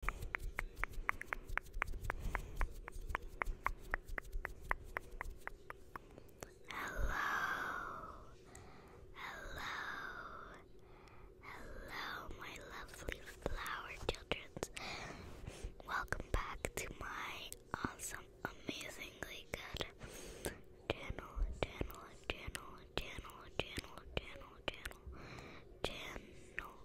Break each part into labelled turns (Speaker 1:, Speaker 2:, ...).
Speaker 1: hello, hello, my lovely flower childrens. Welcome back to my awesome, um, amazingly good channel, channel, channel, channel, channel, channel, channel, channel.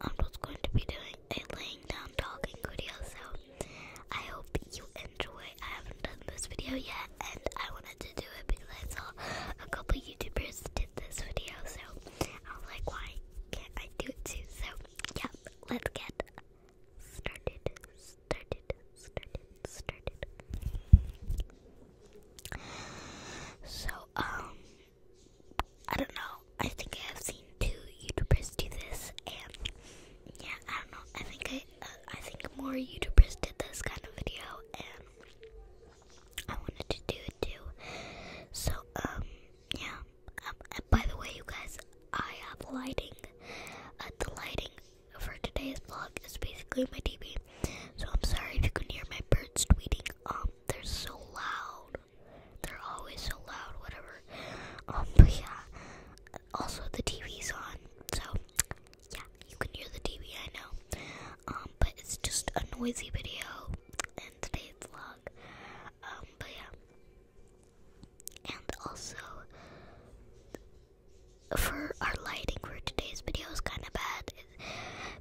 Speaker 1: I'm just going to be doing a laying down talking video, so I hope you enjoy. I haven't done this video yet, and I wanted to do it because I saw a couple YouTubers did this video, so I was like, why can't I do it too? So, yeah, let's get started, started, started, started. So, um, I don't know. I think I have seen two YouTubers do this, and yeah, I don't know. I think I, uh, I think more YouTubers did this kind of video, and I wanted to do it too. So um, yeah. Um, by the way, you guys, I have lighting. Uh, the lighting for today's vlog is basically my TV. So I'm sorry if you can hear my birds tweeting. Um, they're so loud. They're always so loud, whatever. Um, but yeah. Also, the TV's on, so yeah, you can hear the TV. I know. Um, but it's just a noisy video and today's vlog. Um, but yeah. And also, for our lighting for today's video is kind of bad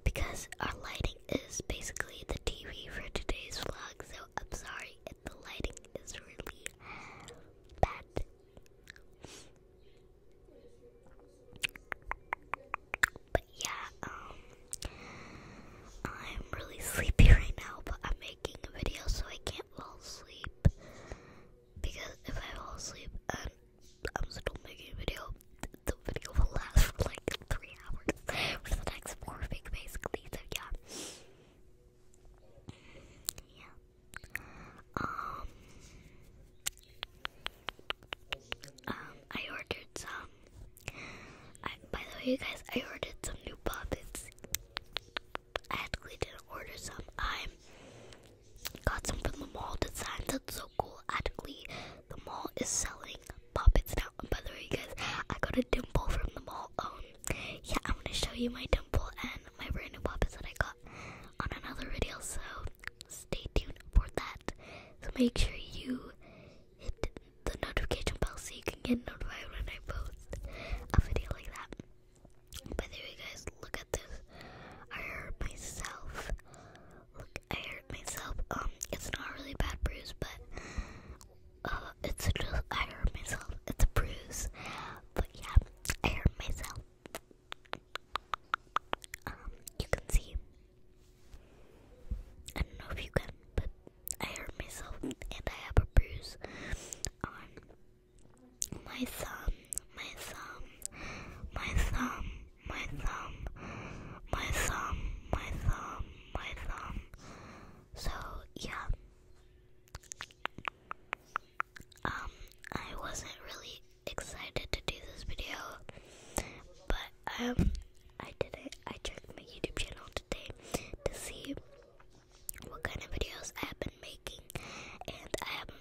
Speaker 1: because our lighting is basically the TV for today's vlog, so I'm sorry if the lighting is really bad. But yeah, um, I'm really sleepy right now, but I'm making a video so I can't fall asleep. Because if I fall asleep I'm still making a video. The video will last for like three hours for the next four weeks, basically. So yeah, yeah. Um, um, I ordered some. by the way, guys, I ordered some new puppets. I actually didn't order some. I got some from the mall to sign. That's so cool. Actually, the mall is selling puppets now. by the way, guys, I got a dimple from the mall. Um, yeah, I'm gonna show you my dimple and my brand new puppets that I got on another video. So stay tuned for that. So make sure you hit the notification bell so you can get notified when I post a video like that. By the way, guys, look at this. I hurt myself. Look, I hurt myself. Um, it's not really bad bruise, but uh, it's I hurt myself. It's a bruise, but yeah, I hurt myself. Um, you can see. I don't know if you can, but I hurt myself, and I have a bruise on my thumb, my thumb, my thumb my thumb, my thumb, my thumb, my thumb. So yeah. Um, I wasn't really excited to do this video, but um, I did it. I checked my YouTube channel today to see what kind of videos I have been making, and I have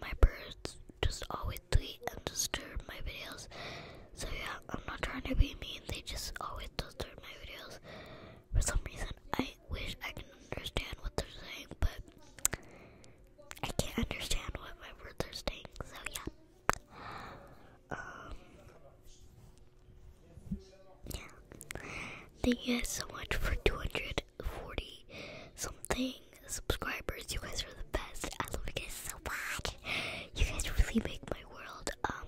Speaker 1: my birds just always tweet and disturb my videos. So yeah, I'm not trying to be mean, they just always disturb my videos. For some reason, I wish I can understand what they're saying, but I can't understand what my birds are saying, so yeah. Um, yeah. Thank you guys so much for 200 40 something subscribers. You guys are the best. I love you guys so much. You guys really make my world. Um,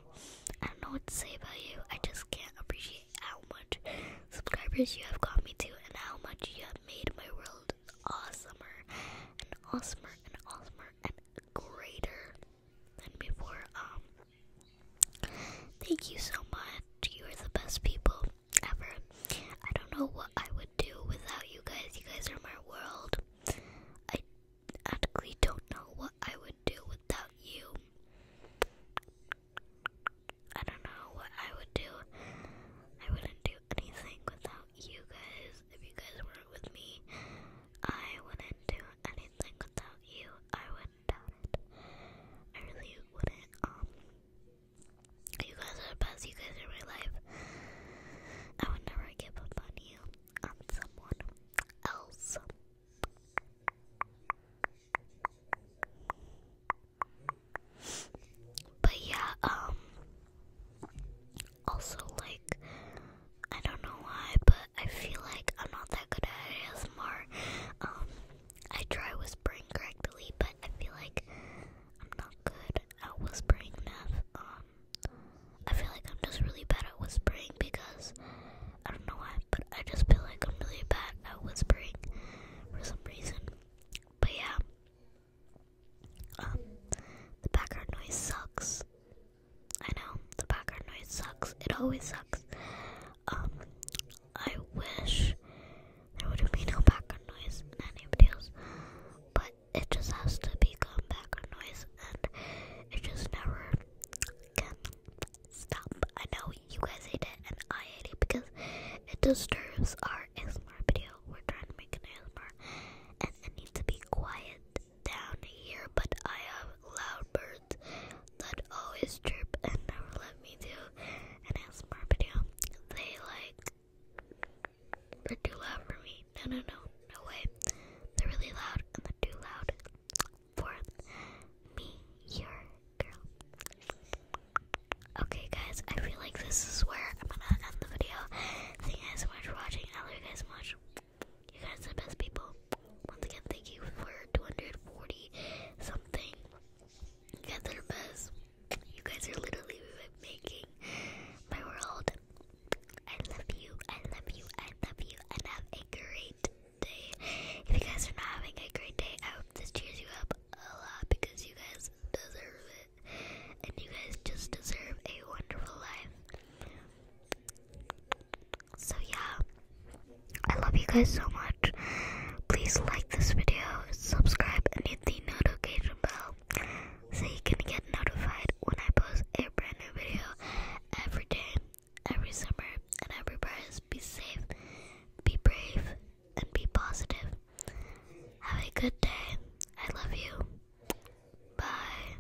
Speaker 1: I don't know what to say about you. I just can't appreciate how much subscribers you have got me to and how much you have made my world awesomer and awesomer and awesomer and greater than before. Um, thank you so much. You are the best people ever. I don't know what I would do without you guys. You guys are my world. I actually don't know what I would do without you. I don't know what I would do. I wouldn't do anything without you guys. If you guys weren't with me, I wouldn't do anything without you. I would I really wouldn't. Um, you guys are the best. You guys are my life. I would never give up on you, on someone else. But yeah, um, also like, I don't know why, but I feel like I'm not that good at ASMR. Um, I try whispering correctly, but I feel like I'm not good at whispering enough. Um, I feel like I'm just really bad at whispering because I don't know why, but I just feel like I'm really bad at whispering for some reason. But yeah, um, the background noise sucks. I know the background noise sucks. It always sucks. Um, I wish there would be no background noise in any videos, but it just has to become background noise and it just never can stop. I know you guys hate it and I hate it because it disturbs our ASMR video. We're trying to make an ASMR and it needs to be quiet down here, but I have loud birds that always trip and never let me do And an ASMR video. They like they're too loud for me. No, no, no, no way. They're really loud and they're too loud for me, your girl. Okay, guys, I feel like this is where I'm gonna end the video. Thank you guys so much for watching. I love you guys so much. You guys are the best people. Once again, thank you for 240 something. You guys are best. You guys are literally making my world. I love you. I love you. I love you. And have a great day. If you guys are not having a great day, I hope this cheers you up a lot because you guys deserve it. And you guys just deserve a wonderful life. So yeah, I love you guys so much. Please like this video, subscribe, and hit the notification bell so you can get notified when I post a brand new video every day, every summer, and every prize. Be safe, be brave, and be positive. Have a good day. I love you. Bye.